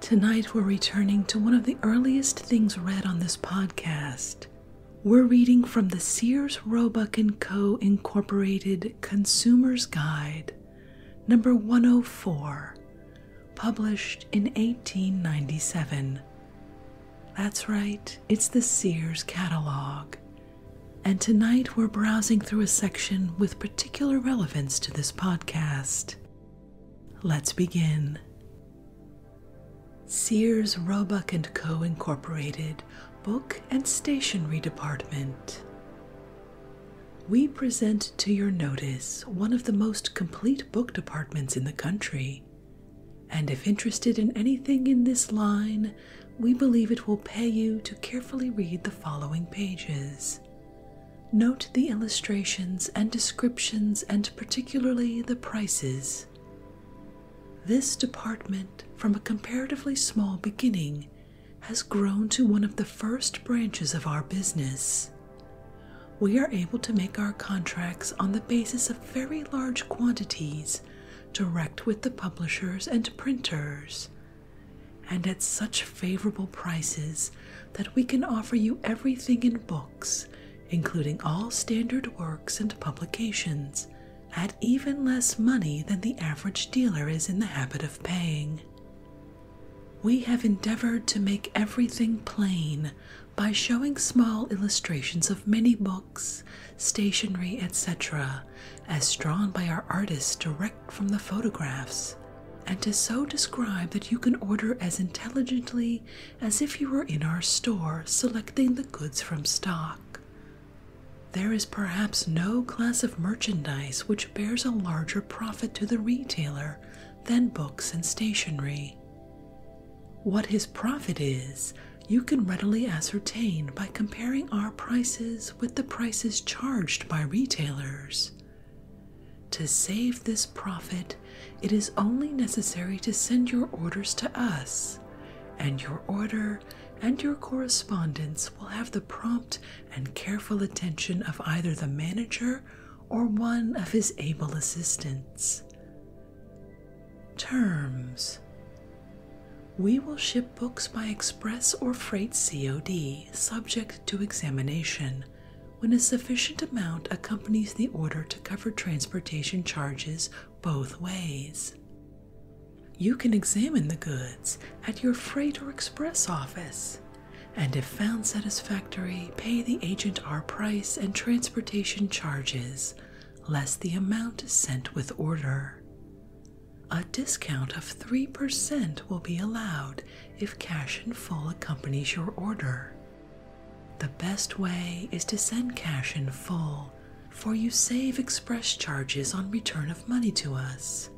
Tonight, we're returning to one of the earliest things read on this podcast. We're reading from the Sears Roebuck & Co. Incorporated Consumer's Guide, number 104, published in 1897. That's right, it's the Sears catalog. And tonight, we're browsing through a section with particular relevance to this podcast. Let's begin. Sears Roebuck and Co. Incorporated Book and Stationery Department. We present to your notice one of the most complete book departments in the country, and if interested in anything in this line, we believe it will pay you to carefully read the following pages. Note the illustrations and descriptions, and particularly the prices. This department, from a comparatively small beginning, has grown to one of the first branches of our business. We are able to make our contracts on the basis of very large quantities direct with the publishers and printers, and at such favorable prices that we can offer you everything in books, including all standard works and publications, at even less money than the average dealer is in the habit of paying. We have endeavored to make everything plain by showing small illustrations of many books, stationery, etc., as drawn by our artists direct from the photographs, and to so describe that you can order as intelligently as if you were in our store selecting the goods from stock. There is perhaps no class of merchandise which bears a larger profit to the retailer than books and stationery. What his profit is, you can readily ascertain by comparing our prices with the prices charged by retailers, to save this profit, it is only necessary to send your orders to us, and your order and your correspondence will have the prompt and careful attention of either the manager or one of his able assistants. Terms We will ship books by express or freight COD subject to examination when a sufficient amount accompanies the order to cover transportation charges both ways. You can examine the goods at your freight or express office, and if found satisfactory, pay the agent our price and transportation charges, less the amount sent with order. A discount of 3% will be allowed if cash in full accompanies your order, the best way is to send cash in full, for you save express charges on return of money to us,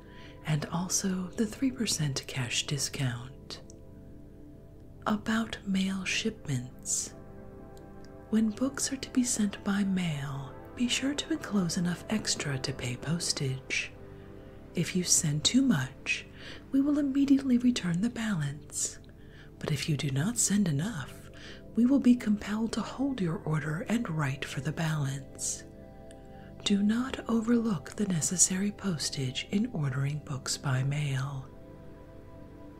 and also the 3% cash discount. About mail shipments. When books are to be sent by mail, be sure to enclose enough extra to pay postage. If you send too much, we will immediately return the balance. But if you do not send enough, we will be compelled to hold your order and write for the balance. Do not overlook the necessary postage in ordering books by mail.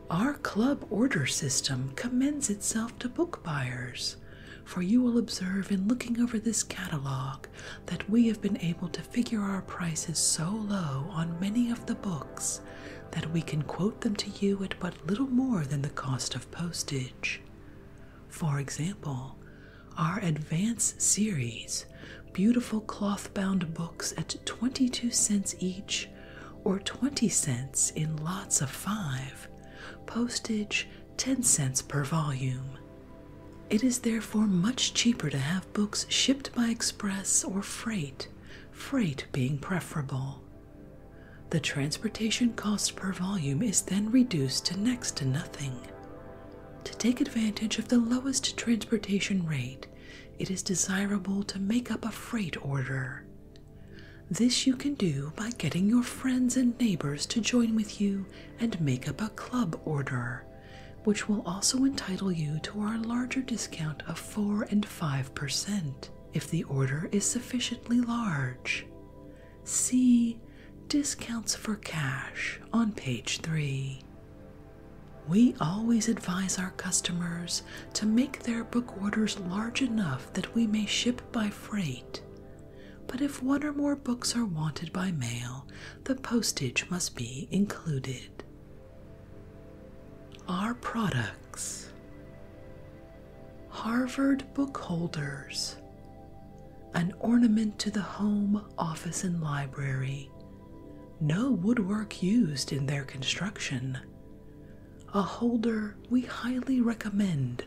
Our club order system commends itself to book buyers, for you will observe in looking over this catalog that we have been able to figure our prices so low on many of the books that we can quote them to you at but little more than the cost of postage. For example, our Advance series, beautiful cloth bound books at 22 cents each or 20 cents in lots of five, postage 10 cents per volume. It is therefore much cheaper to have books shipped by express or freight, freight being preferable. The transportation cost per volume is then reduced to next to nothing. To take advantage of the lowest transportation rate, it is desirable to make up a freight order. This you can do by getting your friends and neighbors to join with you and make up a club order, which will also entitle you to our larger discount of 4 and 5% if the order is sufficiently large. See Discounts for Cash on page 3. We always advise our customers to make their book orders large enough that we may ship by freight. But if one or more books are wanted by mail, the postage must be included. Our products, Harvard book holders, an ornament to the home, office, and library, no woodwork used in their construction, a holder we highly recommend.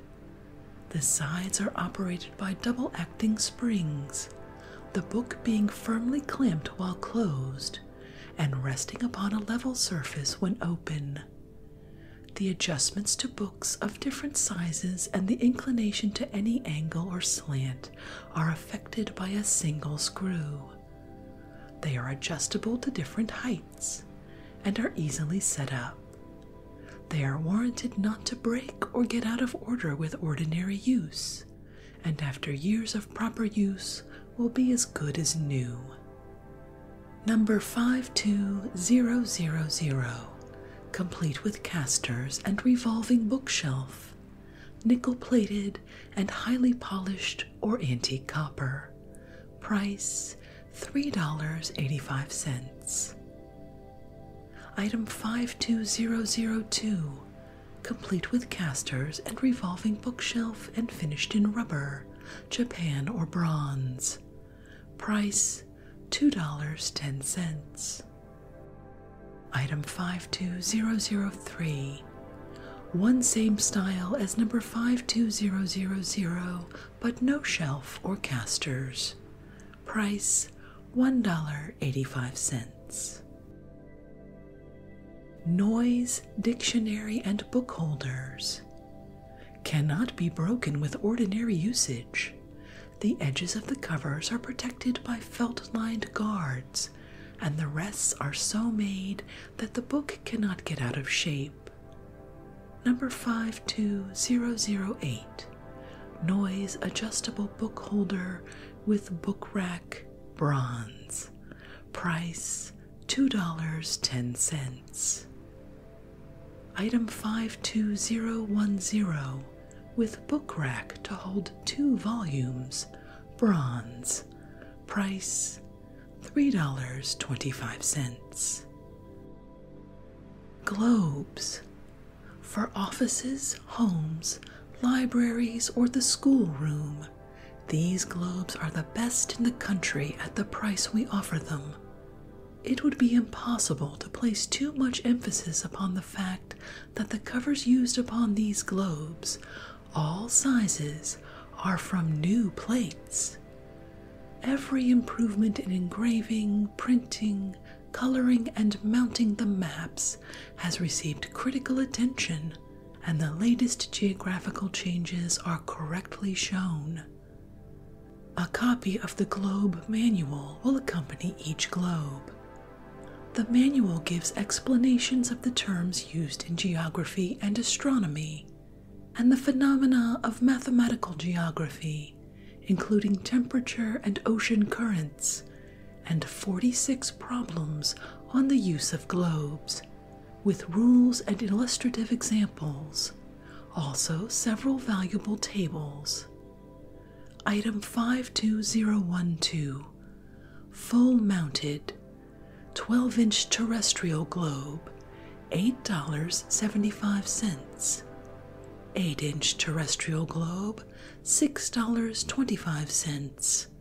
The sides are operated by double acting springs the book being firmly clamped while closed and resting upon a level surface when open. The adjustments to books of different sizes and the inclination to any angle or slant are effected by a single screw. They are adjustable to different heights and are easily set up. They are warranted not to break or get out of order with ordinary use and after years of proper use will be as good as new. Number 52000, complete with casters and revolving bookshelf, nickel plated and highly polished or antique copper. Price $3.85. Item 52002, complete with casters and revolving bookshelf and finished in rubber, Japan or bronze. Price $2.10. Item five two zero zero three, one same style as number 52000, but no shelf or casters. Price $1.85. Noise, dictionary, and book holders cannot be broken with ordinary usage. The edges of the covers are protected by felt lined guards, and the rests are so made that the book cannot get out of shape. Number 52008 Noise Adjustable Book Holder with Book Rack Bronze. Price $2.10. Item 52010 with book rack to hold two volumes, bronze. Price $3.25. Globes. For offices, homes, libraries, or the schoolroom, these globes are the best in the country at the price we offer them. It would be impossible to place too much emphasis upon the fact that the covers used upon these globes, all sizes, are from new plates. Every improvement in engraving, printing, coloring, and mounting the maps has received critical attention and the latest geographical changes are correctly shown. A copy of the globe manual will accompany each globe. The manual gives explanations of the terms used in geography and astronomy, and the phenomena of mathematical geography, including temperature and ocean currents, and 46 problems on the use of globes, with rules and illustrative examples, also several valuable tables. Item 52012 Full Mounted 12 inch terrestrial globe, $8.75. 8 inch terrestrial globe, $6.25.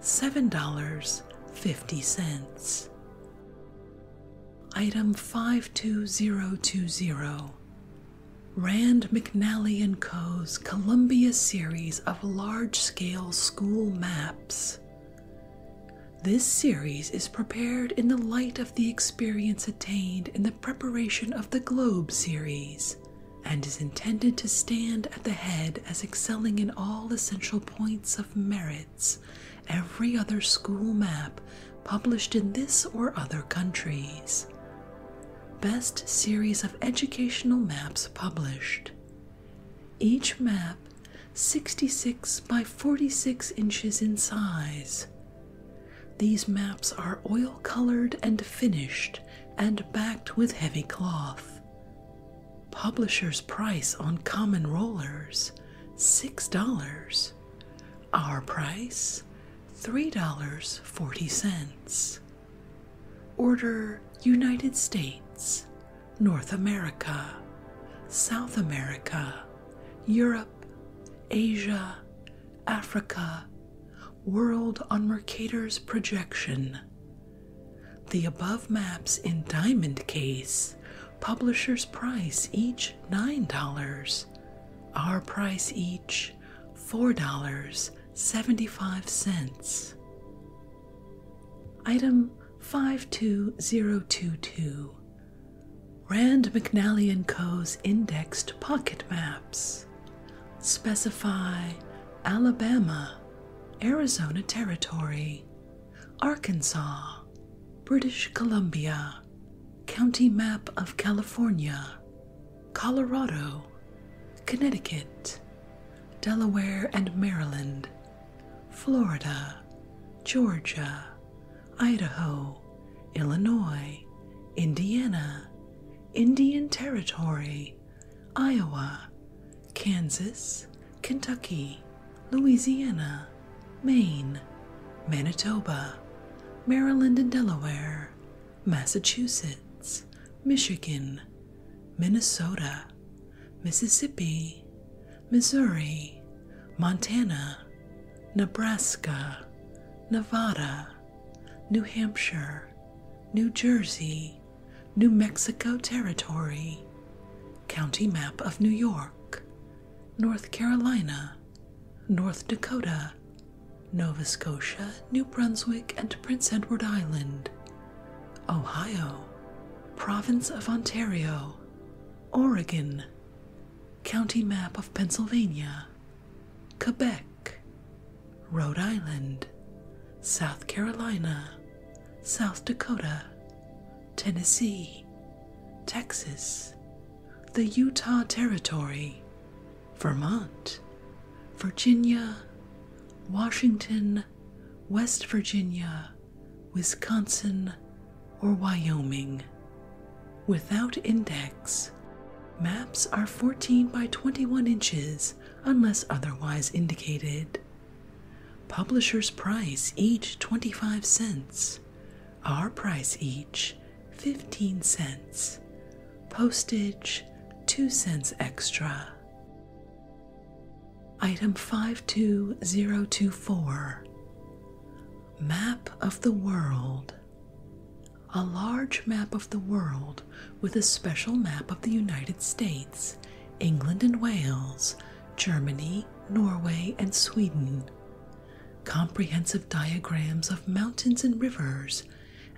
$7.50. Item 52020 Rand McNally and Co.'s Columbia series of large scale school maps. This series is prepared in the light of the experience attained in the preparation of the Globe series and is intended to stand at the head as excelling in all essential points of merits every other school map published in this or other countries. Best series of educational maps published. Each map 66 by 46 inches in size. These maps are oil colored and finished and backed with heavy cloth. Publisher's price on common rollers $6. Our price $3.40. Order United States, North America, South America, Europe, Asia, Africa, World on Mercator's Projection the above maps in diamond case, publisher's price each $9, our price each $4.75. Item 52022 Rand McNally & Co.'s indexed pocket maps. Specify Alabama, Arizona Territory. Arkansas, British Columbia, County Map of California, Colorado, Connecticut, Delaware and Maryland, Florida, Georgia, Idaho, Illinois, Indiana, Indian Territory, Iowa, Kansas, Kentucky, Louisiana, Maine, Manitoba, Maryland and Delaware, Massachusetts, Michigan, Minnesota, Mississippi, Missouri, Montana, Nebraska, Nevada, New Hampshire, New Jersey, New Mexico Territory, County Map of New York, North Carolina, North Dakota, Nova Scotia, New Brunswick, and Prince Edward Island, Ohio, Province of Ontario, Oregon, County Map of Pennsylvania, Quebec, Rhode Island, South Carolina, South Dakota, Tennessee, Texas, the Utah Territory, Vermont, Virginia, Washington, West Virginia, Wisconsin, or Wyoming. Without index, maps are 14 by 21 inches unless otherwise indicated. Publisher's price each 25 cents. Our price each 15 cents. Postage 2 cents extra. Item 52024 Map of the World. A large map of the world with a special map of the United States, England and Wales, Germany, Norway, and Sweden, comprehensive diagrams of mountains and rivers,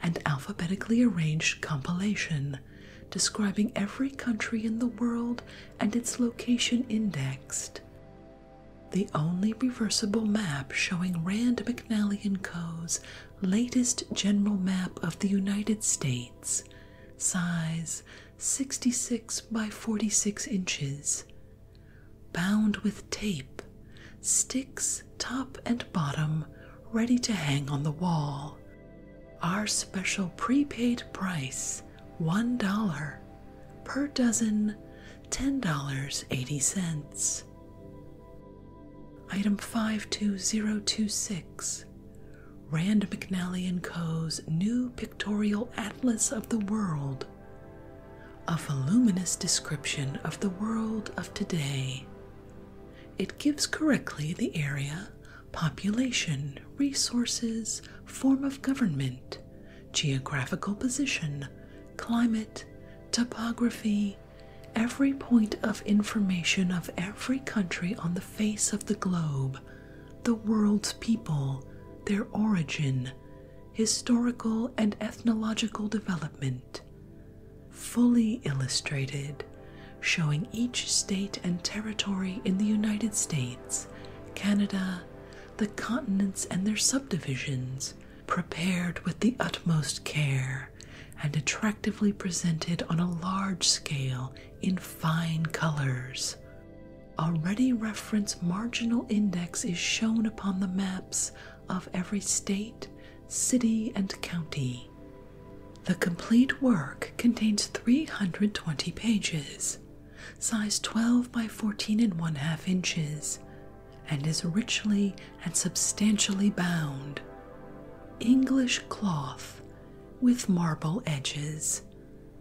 and alphabetically arranged compilation describing every country in the world and its location indexed. The only reversible map showing Rand McNally and Co.'s latest general map of the United States, size, 66 by 46 inches, bound with tape, sticks top and bottom, ready to hang on the wall. Our special prepaid price $1 per dozen, $10.80. Item 52026 Rand McNally & Co.'s new pictorial atlas of the world, a voluminous description of the world of today. It gives correctly the area, population, resources, form of government, geographical position, climate, topography, every point of information of every country on the face of the globe the world's people, their origin, historical and ethnological development, fully illustrated, showing each state and territory in the United States, Canada, the continents and their subdivisions, prepared with the utmost care and attractively presented on a large scale in fine colors. A ready reference marginal index is shown upon the maps of every state, city, and county. The complete work contains 320 pages, size 12 by 14 and 1 half inches, and is richly and substantially bound. English cloth with marble edges,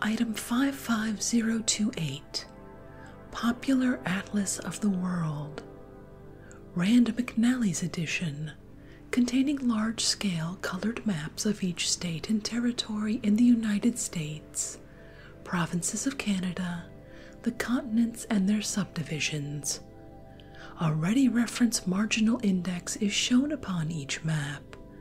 Item 55028 Popular Atlas of the World. Rand McNally's edition, containing large scale colored maps of each state and territory in the United States, provinces of Canada, the continents and their subdivisions. A ready reference marginal index is shown upon each map,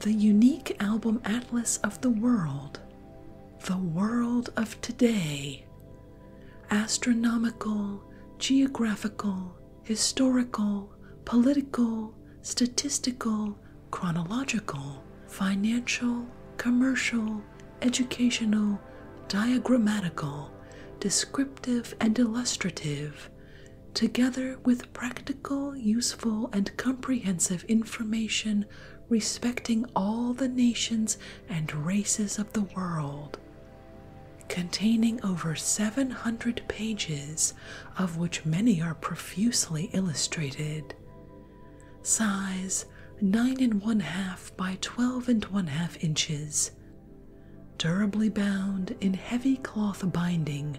The unique album atlas of the world, the world of today, astronomical, geographical, historical, political, statistical, chronological, financial, commercial, educational, diagrammatical, descriptive, and illustrative, together with practical, useful, and comprehensive information respecting all the nations and races of the world, containing over 700 pages, of which many are profusely illustrated. Size 9 and one half by 12 and one half inches. Durably bound in heavy cloth binding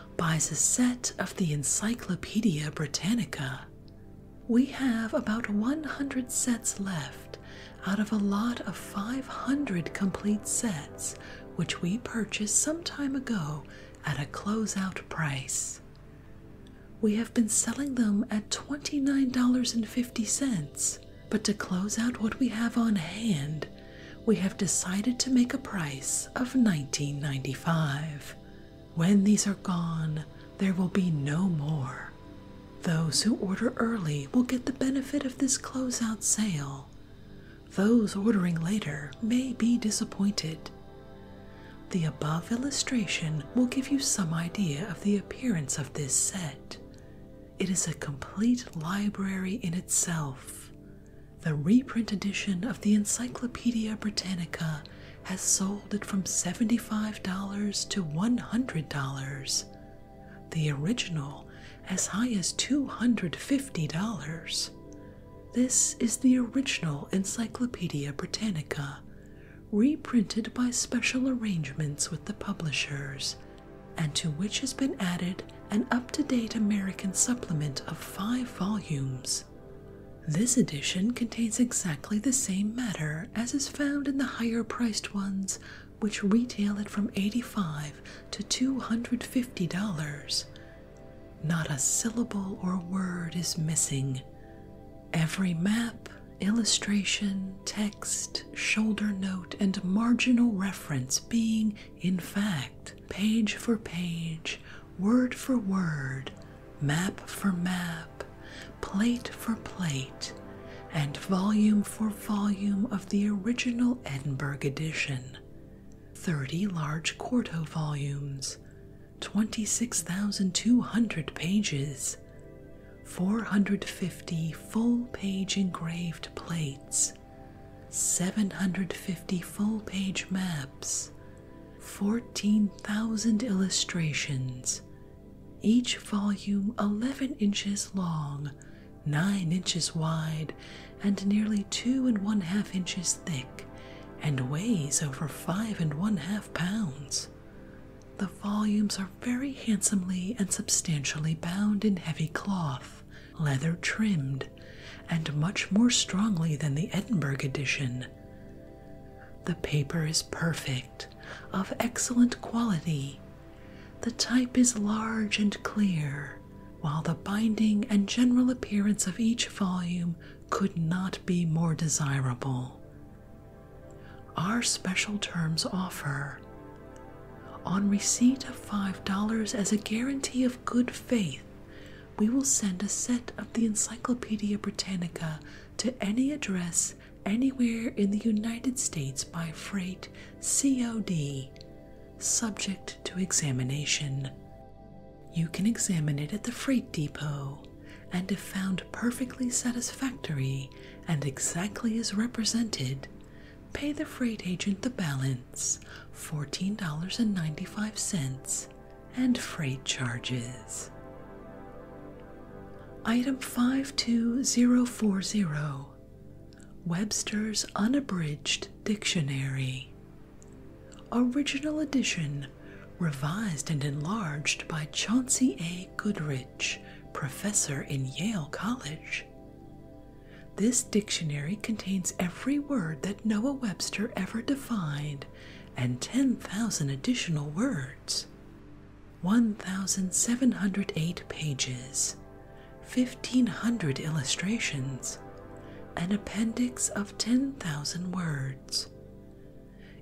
buys a set of the Encyclopedia Britannica. We have about 100 sets left out of a lot of 500 complete sets which we purchased some time ago at a closeout price. We have been selling them at $29.50, but to close out what we have on hand, we have decided to make a price of $19.95. When these are gone, there will be no more. Those who order early will get the benefit of this closeout sale. Those ordering later may be disappointed. The above illustration will give you some idea of the appearance of this set. It is a complete library in itself, the reprint edition of the Encyclopedia Britannica has sold at from $75 to $100, the original as high as $250. This is the original Encyclopedia Britannica, reprinted by special arrangements with the publishers, and to which has been added an up to date American supplement of five volumes this edition contains exactly the same matter as is found in the higher priced ones, which retail at from 85 to $250. Not a syllable or word is missing. Every map, illustration, text, shoulder note, and marginal reference being, in fact, page for page, word for word, map for map, plate for plate, and volume for volume of the original Edinburgh edition. Thirty large quarto volumes, 26,200 pages, 450 full page engraved plates, 750 full page maps, 14,000 illustrations, each volume 11 inches long, 9 inches wide, and nearly 2 and 1 half inches thick, and weighs over 5 and 1 half pounds. The volumes are very handsomely and substantially bound in heavy cloth, leather trimmed, and much more strongly than the Edinburgh edition. The paper is perfect, of excellent quality. The type is large and clear, while the binding and general appearance of each volume could not be more desirable. Our special terms offer on receipt of $5 as a guarantee of good faith we will send a set of the Encyclopedia Britannica to any address anywhere in the United States by freight COD, subject to examination. You can examine it at the freight depot, and if found perfectly satisfactory and exactly as represented, pay the freight agent the balance $14.95 and freight charges. Item 52040 Webster's Unabridged Dictionary. Original edition, revised and enlarged by Chauncey A. Goodrich, professor in Yale College. This dictionary contains every word that Noah Webster ever defined and ten thousand additional words, one thousand seven hundred eight pages, fifteen hundred illustrations, an appendix of ten thousand words.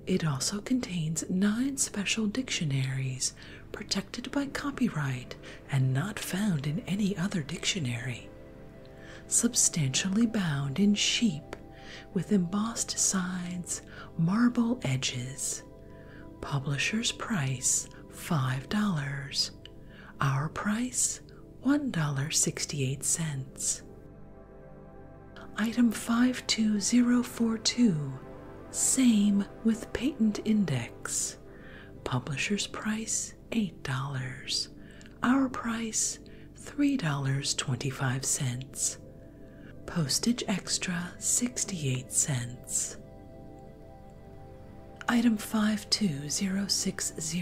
It also contains nine special dictionaries protected by copyright and not found in any other dictionary substantially bound in sheep with embossed sides, marble edges. Publisher's price $5. Our price $1.68. Item 52042. Same with patent index. Publisher's price $8. Our price $3.25. Postage extra 68 cents. Item 52060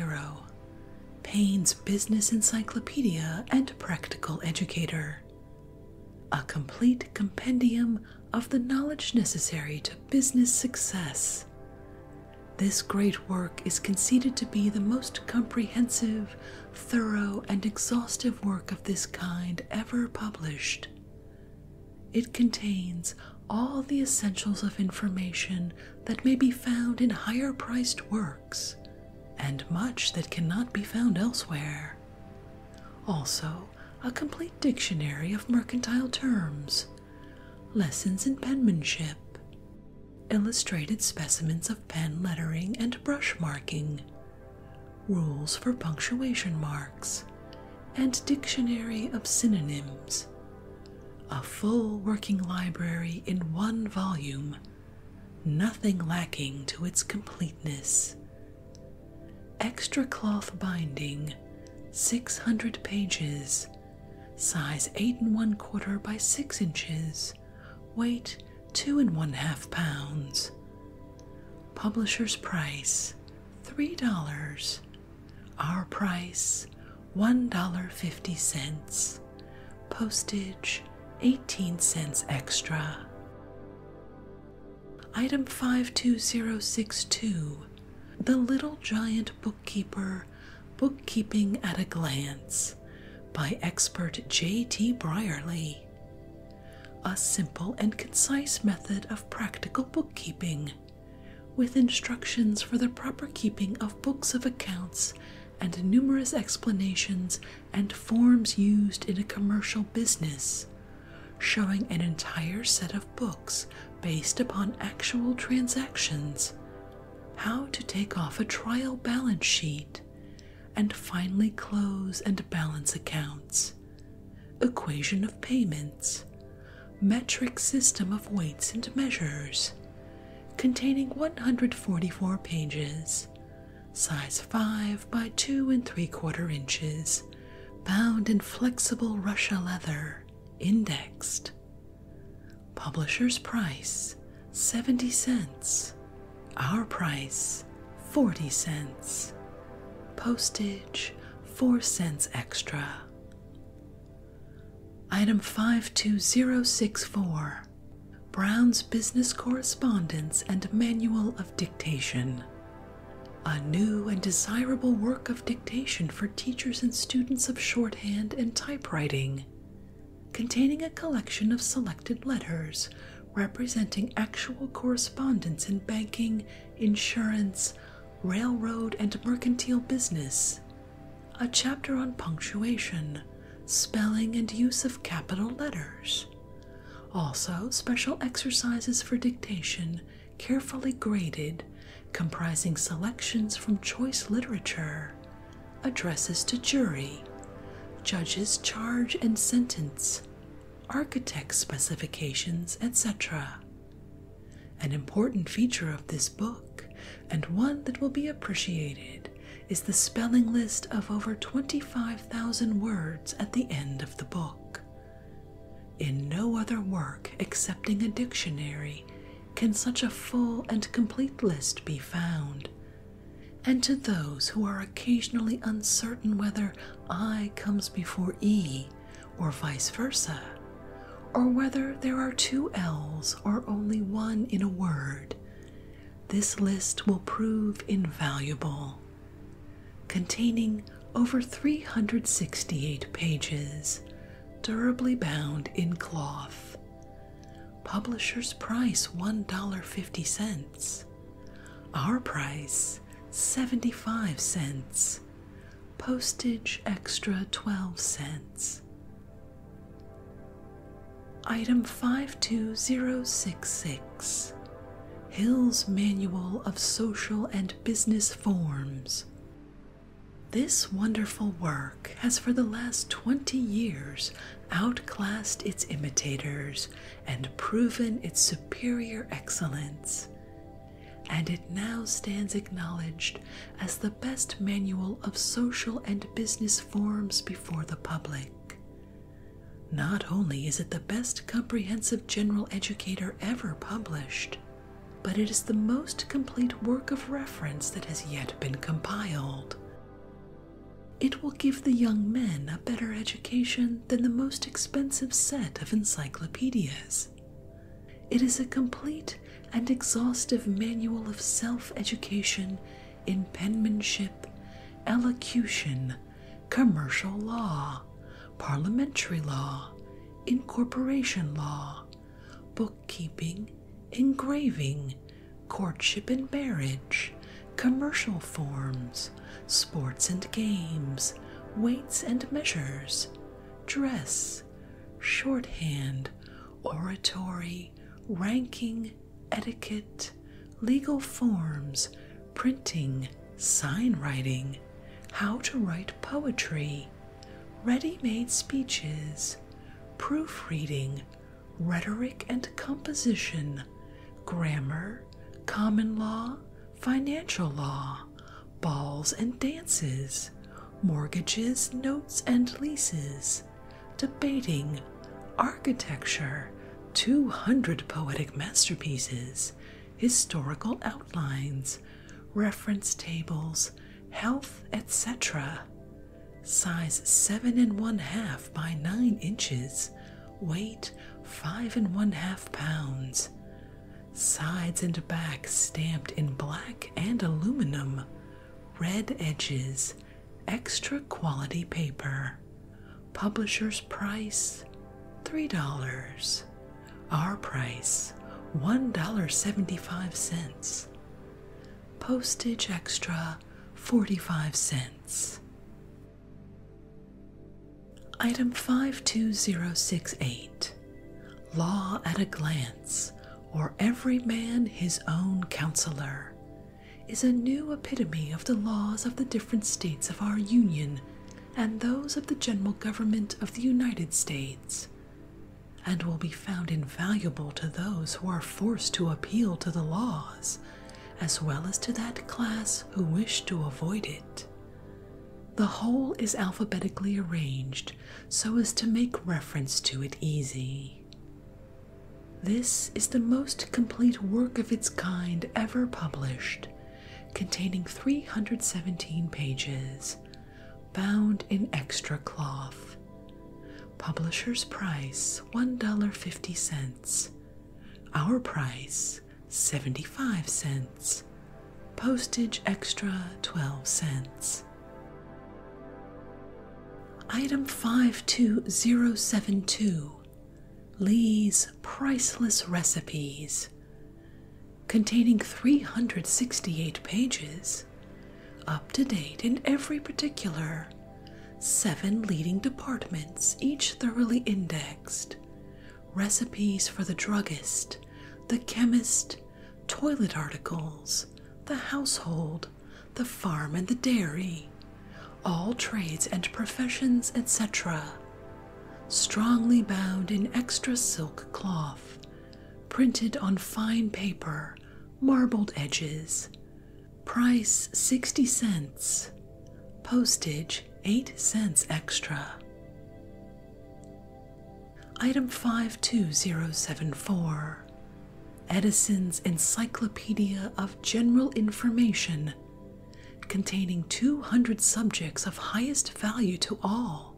Payne's Business Encyclopedia and Practical Educator. A complete compendium of the knowledge necessary to business success. This great work is conceded to be the most comprehensive thorough, and exhaustive work of this kind ever published. It contains all the essentials of information that may be found in higher priced works, and much that cannot be found elsewhere. Also, a complete dictionary of mercantile terms, lessons in penmanship, illustrated specimens of pen lettering and brush marking, rules for punctuation marks, and dictionary of synonyms. A full working library in one volume, nothing lacking to its completeness. Extra cloth binding, 600 pages, size 8 and 1 quarter by 6 inches, weight two and one half pounds. Publisher's price three dollars. Our price one dollar fifty cents. Postage 18 cents extra. Item 52062 The Little Giant Bookkeeper Bookkeeping at a Glance by expert J.T. Brierly. A simple and concise method of practical bookkeeping, with instructions for the proper keeping of books of accounts and numerous explanations and forms used in a commercial business, showing an entire set of books based upon actual transactions, how to take off a trial balance sheet, and finally close and balance accounts, equation of payments, metric system of weights and measures, containing 144 pages, size 5 by 2 and 3 4 inches, bound in flexible Russia leather, indexed. Publisher's price 70 cents. Our price 40 cents. Postage 4 cents extra. Item 52064 Brown's Business Correspondence and Manual of Dictation. A new and desirable work of dictation for teachers and students of shorthand and typewriting containing a collection of selected letters representing actual correspondence in banking, insurance, railroad, and mercantile business, a chapter on punctuation, spelling, and use of capital letters. Also, special exercises for dictation, carefully graded, comprising selections from choice literature, addresses to jury, judges charge and sentence, architect specifications, etc. An important feature of this book, and one that will be appreciated, is the spelling list of over 25,000 words at the end of the book. In no other work excepting a dictionary can such a full and complete list be found, and to those who are occasionally uncertain whether I comes before E or vice versa, or whether there are two L's or only one in a word, this list will prove invaluable. Containing over 368 pages, durably bound in cloth, Publisher's price $1.50. Our price 75 cents. Postage extra 12 cents. Item 52066 Hill's Manual of Social and Business Forms. This wonderful work has for the last 20 years outclassed its imitators, and proven its superior excellence, and it now stands acknowledged as the best manual of social and business forms before the public. Not only is it the best comprehensive general educator ever published, but it is the most complete work of reference that has yet been compiled. It will give the young men a better education than the most expensive set of encyclopedias. It is a complete and exhaustive manual of self education in penmanship, elocution, commercial law, parliamentary law, incorporation law, bookkeeping, engraving, courtship and marriage, commercial forms, sports and games, weights and measures, dress, shorthand, oratory, ranking, etiquette, legal forms, printing, sign writing, how to write poetry, ready made speeches, proofreading, rhetoric and composition, grammar, common law, financial law, balls and dances, mortgages, notes and leases, debating, architecture, 200 poetic masterpieces, historical outlines, reference tables, health, etc. Size 7 and 1 half by 9 inches, weight five and one half pounds, sides and back stamped in black and aluminum, red edges, extra quality paper. Publisher's price $3. Our price $1.75. Postage extra 45 cents. Item 52068 Law at a Glance, or Every Man His Own Counselor, is a new epitome of the laws of the different states of our Union and those of the General Government of the United States, and will be found invaluable to those who are forced to appeal to the laws as well as to that class who wish to avoid it. The whole is alphabetically arranged so as to make reference to it easy. This is the most complete work of its kind ever published, containing 317 pages, bound in extra cloth. Publisher's price $1.50, our price 75 cents. Postage extra 12 cents. Item 52072 Lee's Priceless Recipes, containing 368 pages, up to date in every particular. Seven leading departments, each thoroughly indexed. Recipes for the druggist, the chemist, toilet articles, the household, the farm and the dairy, all trades and professions, etc. Strongly bound in extra silk cloth, printed on fine paper, marbled edges, Price 60 cents. Postage 8 cents extra. Item 52074 Edison's Encyclopedia of General Information, containing 200 subjects of highest value to all,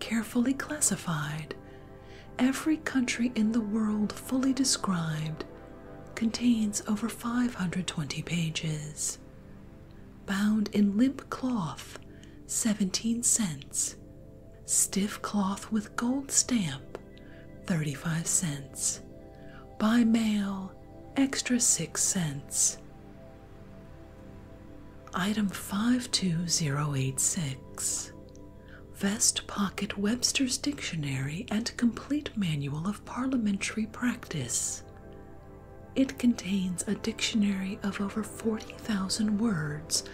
carefully classified, every country in the world fully described, contains over 520 pages. Bound in limp cloth, 17 cents. Stiff cloth with gold stamp, 35 cents. By mail, extra 6 cents. Item 52086 Vest Pocket Webster's Dictionary and Complete Manual of parliamentary practice. It contains a dictionary of over 40,000 words,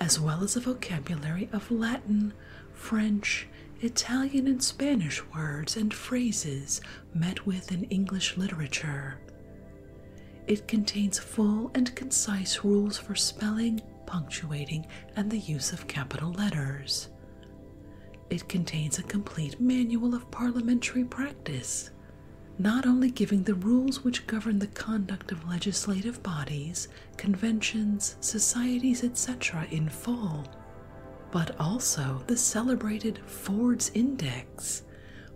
as well as a vocabulary of Latin, French, Italian, and Spanish words and phrases met with in English literature. It contains full and concise rules for spelling, punctuating, and the use of capital letters. It contains a complete manual of parliamentary practice, not only giving the rules which govern the conduct of legislative bodies, conventions, societies, etc., in full, but also the celebrated Ford's Index,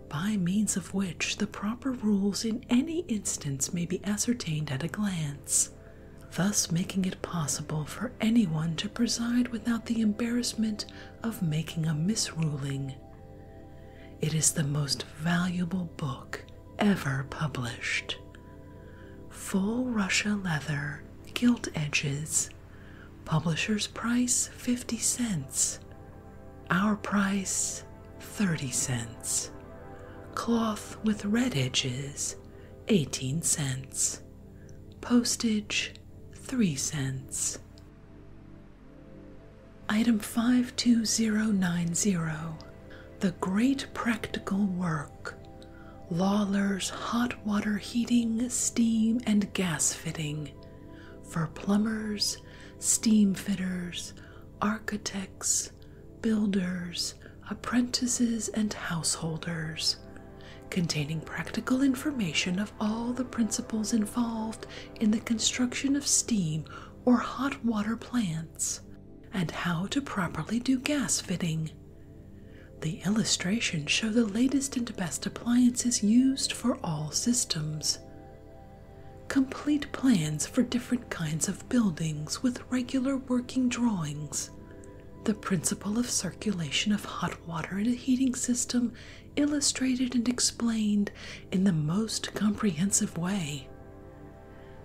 by means of which the proper rules in any instance may be ascertained at a glance thus making it possible for anyone to preside without the embarrassment of making a misruling. It is the most valuable book ever published. Full Russia leather, gilt edges. Publisher's price 50 cents. Our price 30 cents. Cloth with red edges 18 cents. Postage 3 cents. Item 52090 The Great Practical Work Lawler's Hot Water Heating, Steam, and Gas Fitting for Plumbers, Steam Fitters, Architects, Builders, Apprentices, and Householders containing practical information of all the principles involved in the construction of steam or hot water plants and how to properly do gas fitting. The illustrations show the latest and best appliances used for all systems. Complete plans for different kinds of buildings with regular working drawings, the principle of circulation of hot water in a heating system, illustrated and explained in the most comprehensive way.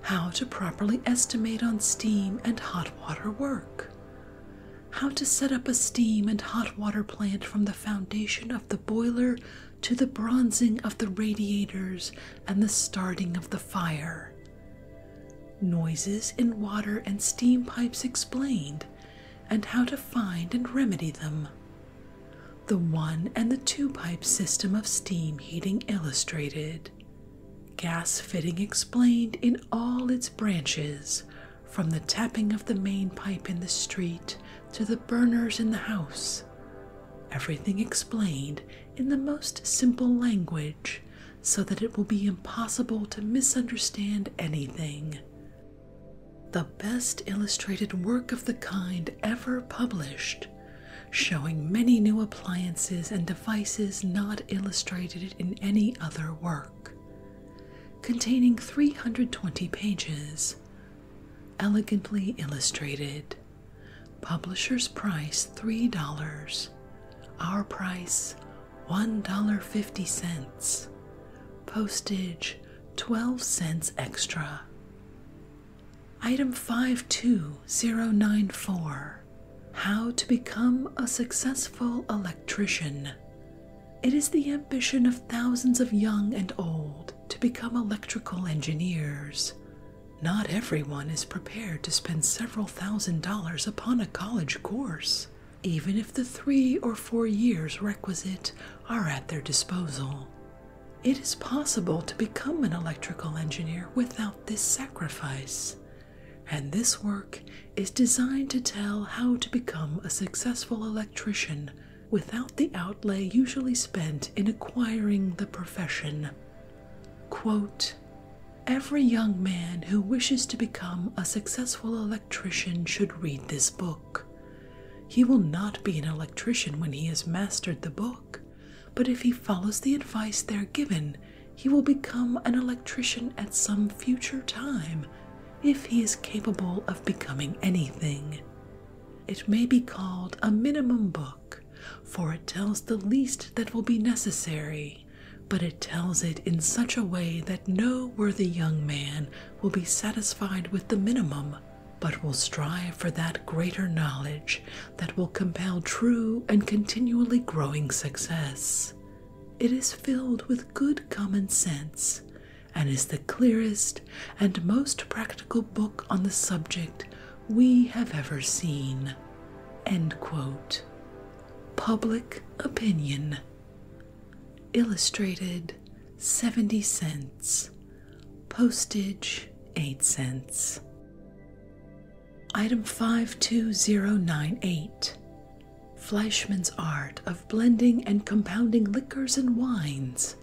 How to properly estimate on steam and hot water work. How to set up a steam and hot water plant from the foundation of the boiler to the bronzing of the radiators and the starting of the fire. Noises in water and steam pipes explained, and how to find and remedy them. The one and the two pipe system of steam heating illustrated. Gas fitting explained in all its branches, from the tapping of the main pipe in the street to the burners in the house. Everything explained in the most simple language so that it will be impossible to misunderstand anything. The best illustrated work of the kind ever published, showing many new appliances and devices not illustrated in any other work. Containing 320 pages, elegantly illustrated. Publisher's price $3. Our price $1.50, postage 12 cents extra. Item 52094 How to Become a Successful Electrician. It is the ambition of thousands of young and old to become electrical engineers. Not everyone is prepared to spend several thousand dollars upon a college course even if the three or four years requisite are at their disposal. It is possible to become an electrical engineer without this sacrifice, and this work is designed to tell how to become a successful electrician without the outlay usually spent in acquiring the profession. Quote, Every young man who wishes to become a successful electrician electrician should read this book. He will not be an electrician when he has mastered the book, but if he follows the advice there given, he will become an electrician at some future time if he is capable of becoming anything. It may be called a minimum book, for it tells the least that will be necessary but it tells it in such a way that no worthy young man will be satisfied with the minimum, but will strive for that greater knowledge that will compel true and continually growing success. It is filled with good common sense and is the clearest and most practical book on the subject we have ever seen. End quote. Public opinion illustrated 70 cents, postage 8 cents. Item 52098 Fleischmann's Art of Blending and Compounding Liquors and Wines,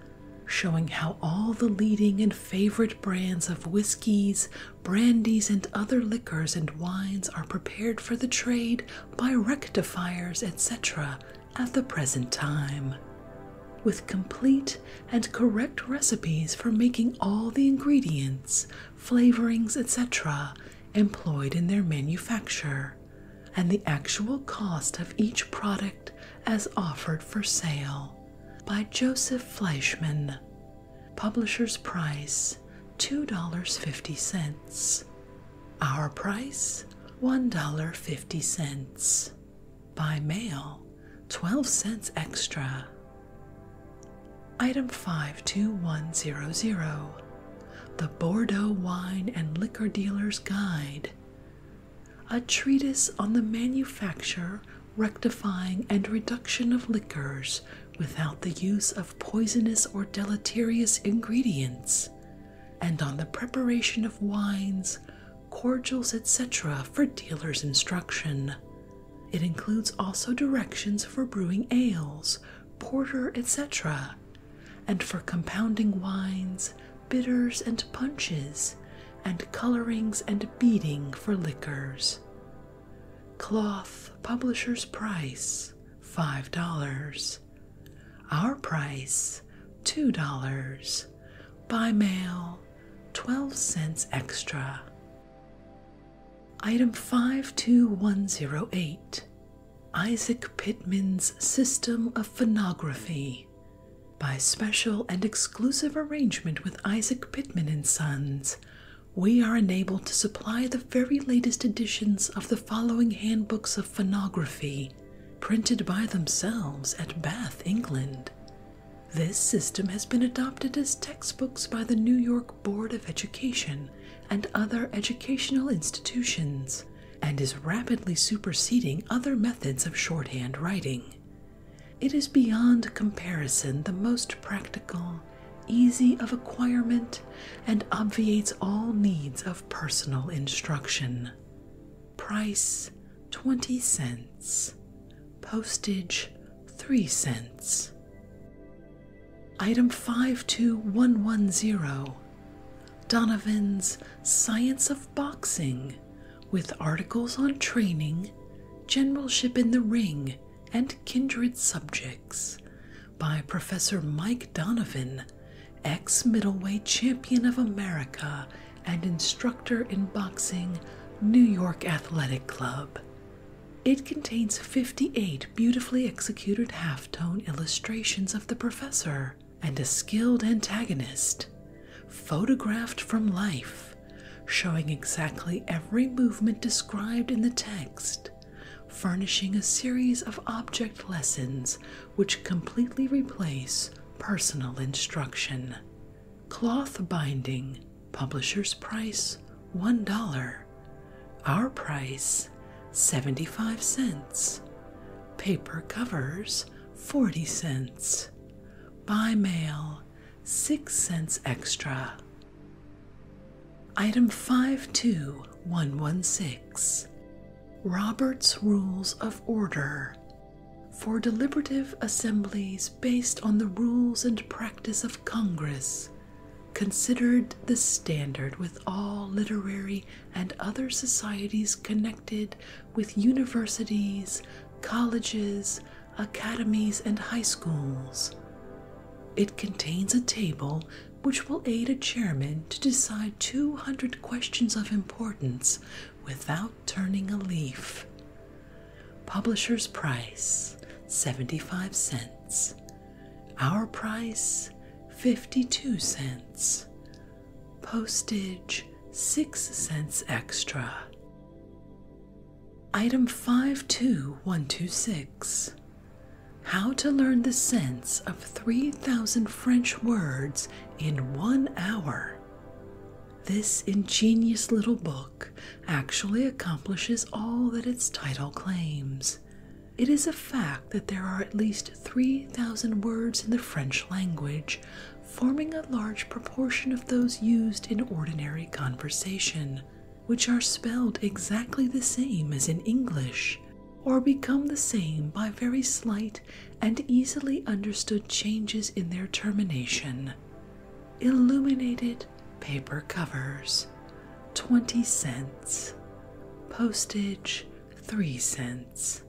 showing how all the leading and favorite brands of whiskeys, brandies, and other liquors and wines are prepared for the trade by rectifiers, etc., at the present time, with complete and correct recipes for making all the ingredients, flavorings, etc., employed in their manufacture, and the actual cost of each product as offered for sale. By Joseph Fleischman. Publisher's price $2.50. Our price $1.50. By mail, 12 cents extra. Item 52100 The Bordeaux Wine and Liquor Dealer's Guide. A treatise on the manufacture, rectifying, and reduction of liquors without the use of poisonous or deleterious ingredients and on the preparation of wines, cordials, etc., for dealers' instruction. It includes also directions for brewing ales, porter, etc., and for compounding wines, bitters, and punches, and colorings and beading for liquors. Cloth, publisher's price, $5. Our price $2. By mail, 12 cents extra. Item 52108 Isaac Pitman's System of Phonography. By special and exclusive arrangement with Isaac Pitman and Sons, we are enabled to supply the very latest editions of the following handbooks of phonography, printed by themselves at Bath, England. This system has been adopted as textbooks by the New York Board of Education and other educational institutions, and is rapidly superseding other methods of shorthand writing. It is beyond comparison the most practical, easy of acquirement, and obviates all needs of personal instruction. Price 20 cents. Postage 3 cents. Item 52110 Donovan's Science of Boxing with articles on training, generalship in the ring, and kindred subjects, by Professor Mike Donovan, ex middleweight champion of America and instructor in boxing, New York Athletic Club. It contains 58 beautifully executed half tone illustrations of the professor and a skilled antagonist, photographed from life, showing exactly every movement described in the text furnishing a series of object lessons which completely replace personal instruction. Cloth binding, publisher's price $1. Our price 75 cents. Paper covers 40 cents. By mail 6 cents extra. Item 52116 Robert's Rules of Order for deliberative assemblies based on the rules and practice of Congress, considered the standard with all literary and other societies connected with universities, colleges, academies, and high schools. It contains a table which will aid a chairman to decide 200 questions of importance without turning a leaf. Publisher's price 75 cents. Our price 52 cents. Postage 6 cents extra. Item 52126 how to learn the sense of 3,000 French words in one hour. This ingenious little book actually accomplishes all that its title claims. It is a fact that there are at least 3,000 words in the French language, forming a large proportion of those used in ordinary conversation, which are spelled exactly the same as in English, or become the same by very slight and easily understood changes in their termination. Illuminated paper covers 20 cents, postage 3 cents.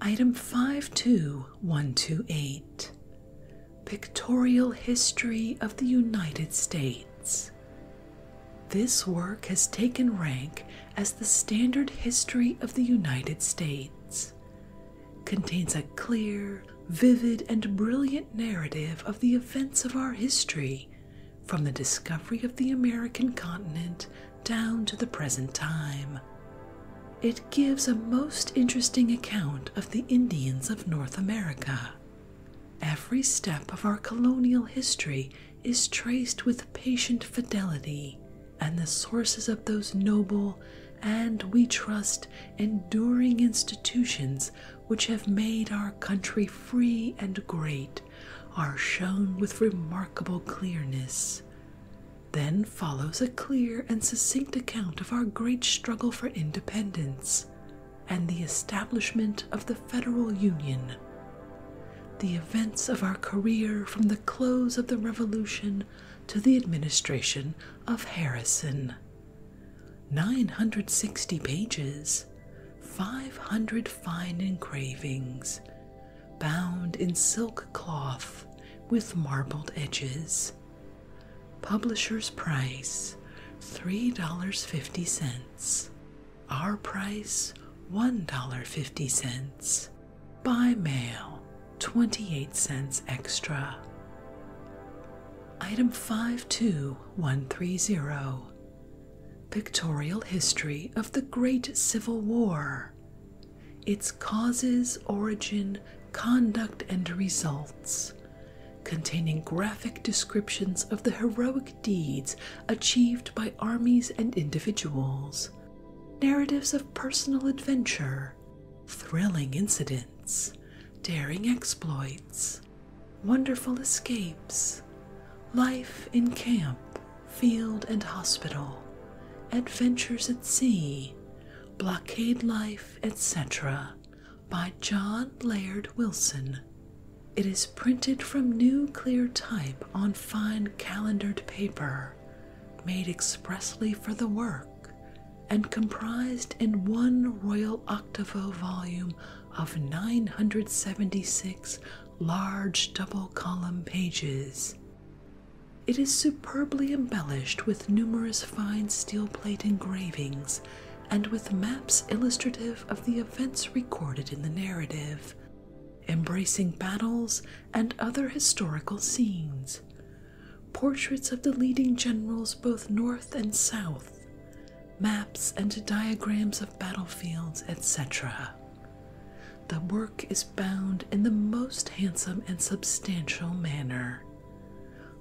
Item 52128 Pictorial History of the United States this work has taken rank as the standard history of the United States. Contains a clear, vivid, and brilliant narrative of the events of our history from the discovery of the American continent down to the present time. It gives a most interesting account of the Indians of North America. Every step of our colonial history is traced with patient fidelity, and the sources of those noble and, we trust, enduring institutions which have made our country free and great are shown with remarkable clearness. Then follows a clear and succinct account of our great struggle for independence and the establishment of the Federal Union the events of our career from the close of the Revolution to the administration of Harrison. 960 pages, 500 fine engravings, bound in silk cloth with marbled edges. Publisher's price $3.50. Our price $1.50. By mail, 28 cents extra. Item 52130 Pictorial History of the Great Civil War. Its causes, origin, conduct, and results, containing graphic descriptions of the heroic deeds achieved by armies and individuals, narratives of personal adventure, thrilling incidents, daring exploits, wonderful escapes, life in camp, field, and hospital, adventures at sea, blockade life, etc. by John Laird Wilson. It is printed from new clear type on fine calendered paper, made expressly for the work, and comprised in one royal octavo volume of 976 large double column pages. It is superbly embellished with numerous fine steel plate engravings and with maps illustrative of the events recorded in the narrative, embracing battles and other historical scenes, portraits of the leading generals both north and south, maps and diagrams of battlefields, etc. The work is bound in the most handsome and substantial manner.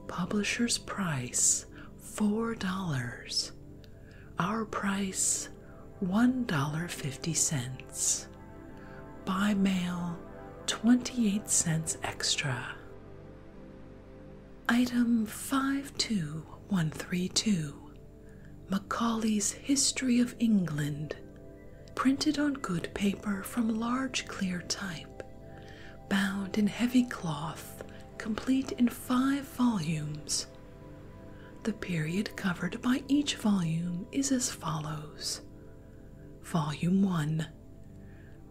Publisher's price $4. Our price $1.50. By mail, 28 cents extra. Item 52132 Macaulay's History of England, printed on good paper from large clear type, bound in heavy cloth, complete in five volumes, the period covered by each volume is as follows Volume 1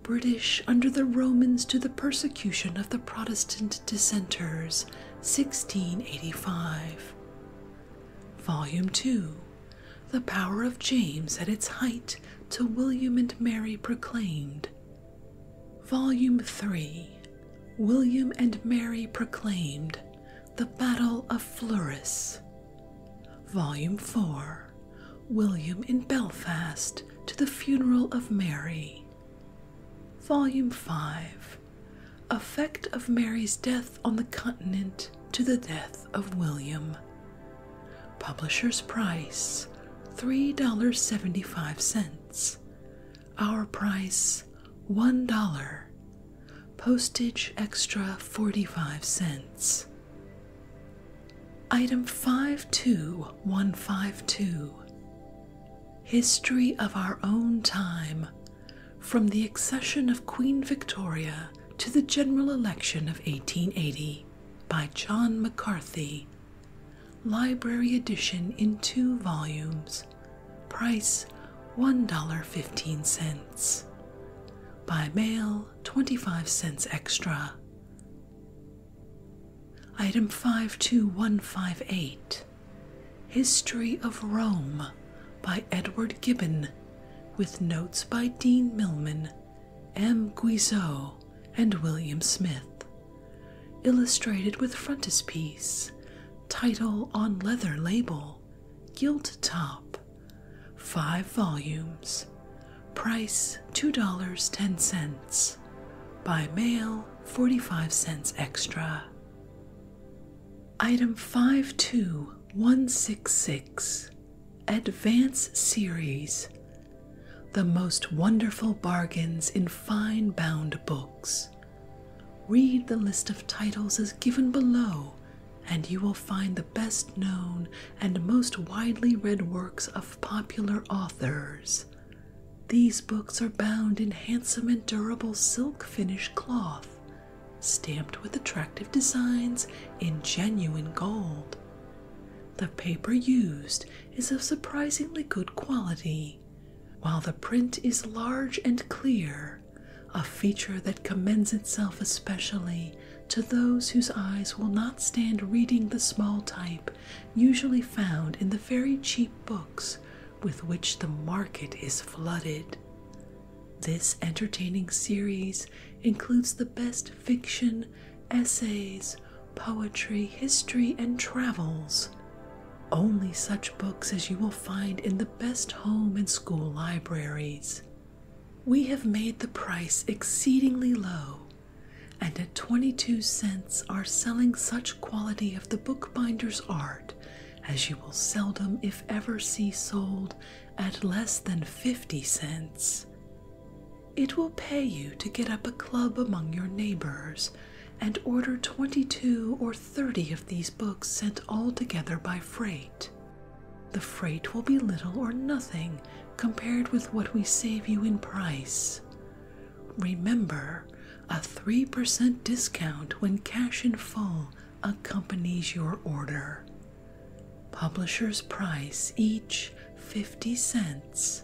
British under the Romans to the persecution of the Protestant dissenters, 1685. Volume 2 The power of James at its height to William and Mary proclaimed. Volume 3 William and Mary proclaimed the Battle of Fleurus. Volume 4 William in Belfast to the Funeral of Mary. Volume 5 Effect of Mary's Death on the Continent to the Death of William. Publisher's Price $3.75. Our price $1. Postage extra 45 cents. Item 52152 History of Our Own Time From the Accession of Queen Victoria to the General Election of 1880 by John McCarthy. Library edition in two volumes, price $1.15. By mail, 25 cents extra. Item 52158 History of Rome by Edward Gibbon, with notes by Dean Milman, M. Guizot, and William Smith. Illustrated with frontispiece, title on leather label, gilt top, five volumes, price $2.10, by mail 45 cents extra. Item 52166 Advance Series The Most Wonderful Bargains in Fine Bound Books. Read the list of titles as given below, and you will find the best known and most widely read works of popular authors. These books are bound in handsome and durable silk finish cloth, stamped with attractive designs in genuine gold. The paper used is of surprisingly good quality, while the print is large and clear a feature that commends itself especially to those whose eyes will not stand reading the small type usually found in the very cheap books with which the market is flooded. This entertaining series includes the best fiction, essays, poetry, history, and travels. Only such books as you will find in the best home and school libraries. We have made the price exceedingly low, and at 22 cents are selling such quality of the bookbinder's art as you will seldom, if ever, see sold at less than 50 cents. It will pay you to get up a club among your neighbors and order 22 or 30 of these books sent all together by freight. The freight will be little or nothing compared with what we save you in price. Remember, a 3% discount when cash in full accompanies your order. Publisher's price each 50 cents.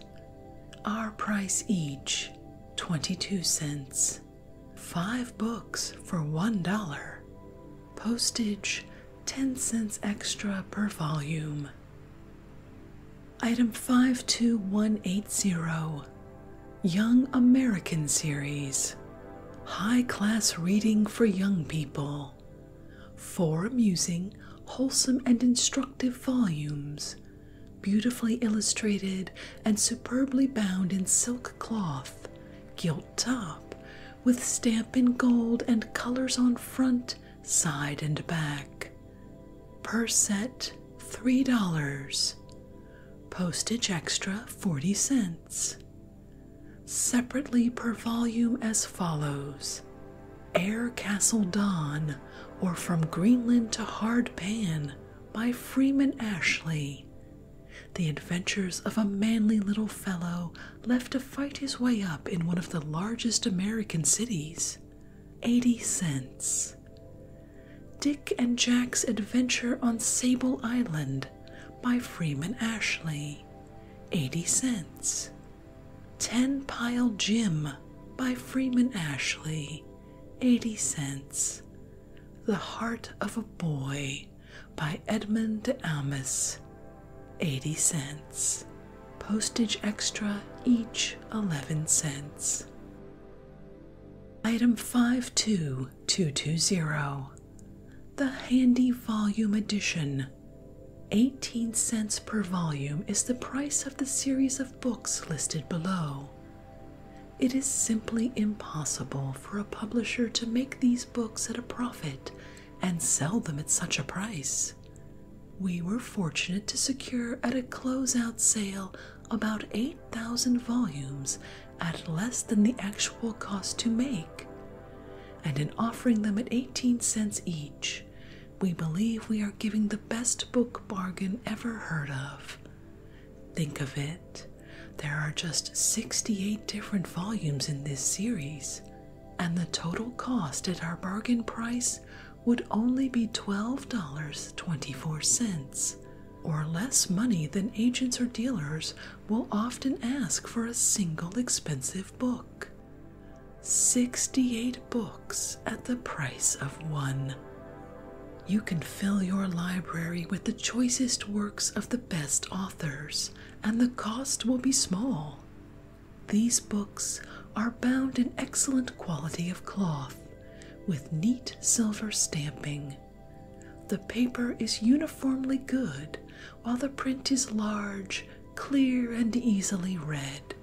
Our price each 22 cents. Five books for $1. Postage 10 cents extra per volume. Item 52180 Young American Series High Class Reading for Young People. Four amusing, wholesome, and instructive volumes, beautifully illustrated and superbly bound in silk cloth, gilt top, with stamp in gold and colors on front, side, and back. Per set, $3. Postage extra, 40 cents. Separately per volume as follows Air Castle Dawn or From Greenland to Hard Pan by Freeman Ashley, the adventures of a manly little fellow left to fight his way up in one of the largest American cities. 80 cents. Dick and Jack's Adventure on Sable Island by Freeman Ashley. 80 cents. Ten Pile Jim by Freeman Ashley. 80 cents. The Heart of a Boy by Edmund Amis, 80 cents. Postage extra, each 11 cents. Item 52220, the Handy Volume Edition. 18 cents per volume is the price of the series of books listed below. It is simply impossible for a publisher to make these books at a profit and sell them at such a price. We were fortunate to secure at a closeout sale about 8,000 volumes at less than the actual cost to make, and in offering them at 18 cents each, we believe we are giving the best book bargain ever heard of. Think of it there are just 68 different volumes in this series, and the total cost at our bargain price would only be $12.24, or less money than agents or dealers will often ask for a single expensive book. 68 books at the price of one. You can fill your library with the the choicest works of the best authors, and the cost will be small. These books are bound in excellent quality of cloth, with neat silver stamping. The paper is uniformly good, while the print is large, clear, and easily read.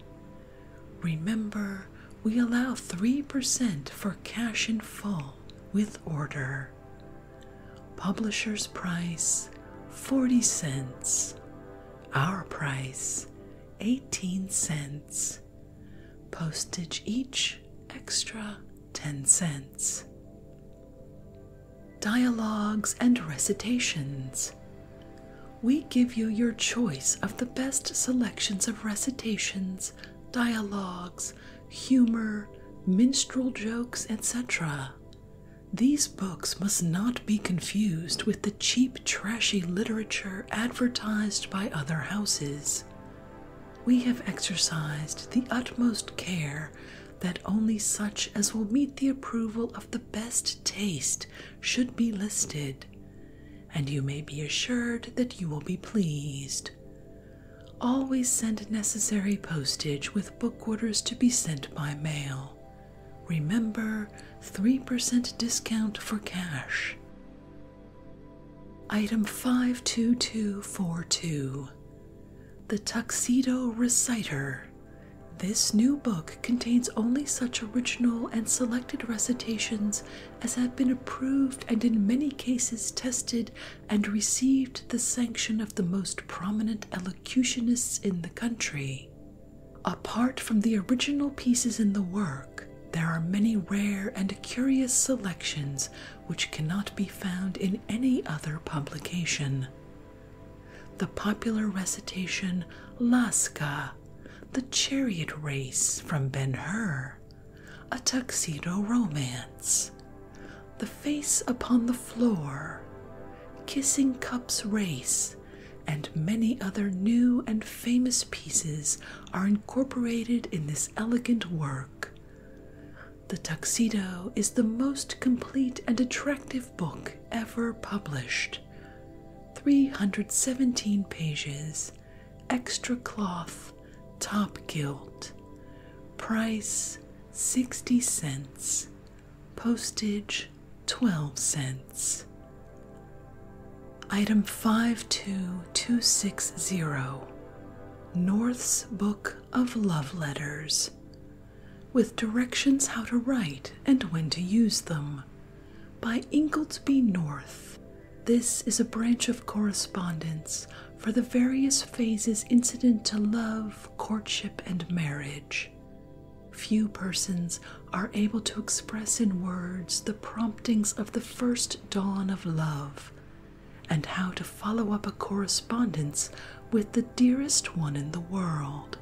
Remember, we allow 3% for cash in full with order. Publisher's price 40 cents. Our price 18 cents. Postage each extra 10 cents. Dialogues and recitations. We give you your choice of the best selections of recitations, dialogues, humor, minstrel jokes, etc. These books must not be confused with the cheap, trashy literature advertised by other houses. We have exercised the utmost care that only such as will meet the approval of the best taste should be listed, and you may be assured that you will be pleased. Always send necessary postage with book orders to be sent by mail. Remember 3% discount for cash. Item 52242 The Tuxedo Reciter. This new book contains only such original and selected recitations as have been approved and in many cases tested and received the sanction of the most prominent elocutionists in the country. Apart from the original pieces in the work, there are many rare and curious selections which cannot be found in any other publication. The popular recitation "Laska," The Chariot Race from Ben Hur, A Tuxedo Romance, the face upon the floor, kissing cups race, and many other new and famous pieces are incorporated in this elegant work. The Tuxedo is the most complete and attractive book ever published. 317 pages, extra cloth, top gilt. Price 60 cents, postage 12 cents. Item 52260 North's Book of Love Letters with directions how to write and when to use them by Ingoldsby North. This is a branch of correspondence for the various phases incident to love, courtship, and marriage. Few persons are able to express in words the promptings of the first dawn of love, and how to follow up a correspondence with the dearest one in the world,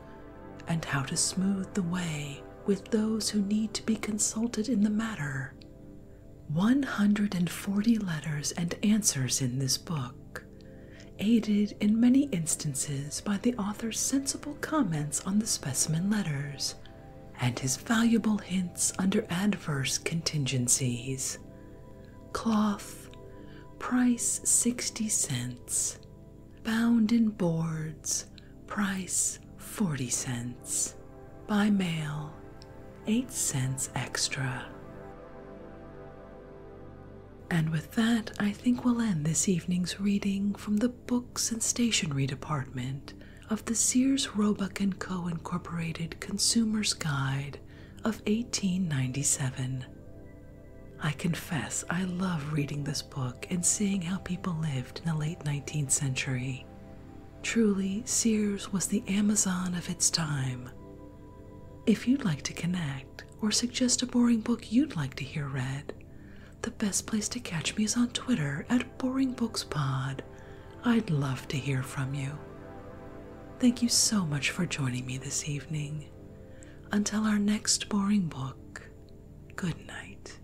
and how to smooth the way with those who need to be consulted in the matter. 140 letters and answers in this book aided in many instances by the author's sensible comments on the specimen letters and his valuable hints under adverse contingencies. Cloth, price 60 cents. Bound in boards, price 40 cents. By mail, 8 cents extra. And with that, I think we'll end this evening's reading from the Books and Stationery Department of the Sears Roebuck & Co. Incorporated Consumer's Guide of 1897. I confess I love reading this book and seeing how people lived in the late 19th century. Truly, Sears was the Amazon of its time, if you'd like to connect or suggest a boring book you'd like to hear read, the best place to catch me is on Twitter at BoringBooksPod. I'd love to hear from you. Thank you so much for joining me this evening. Until our next boring book, good night.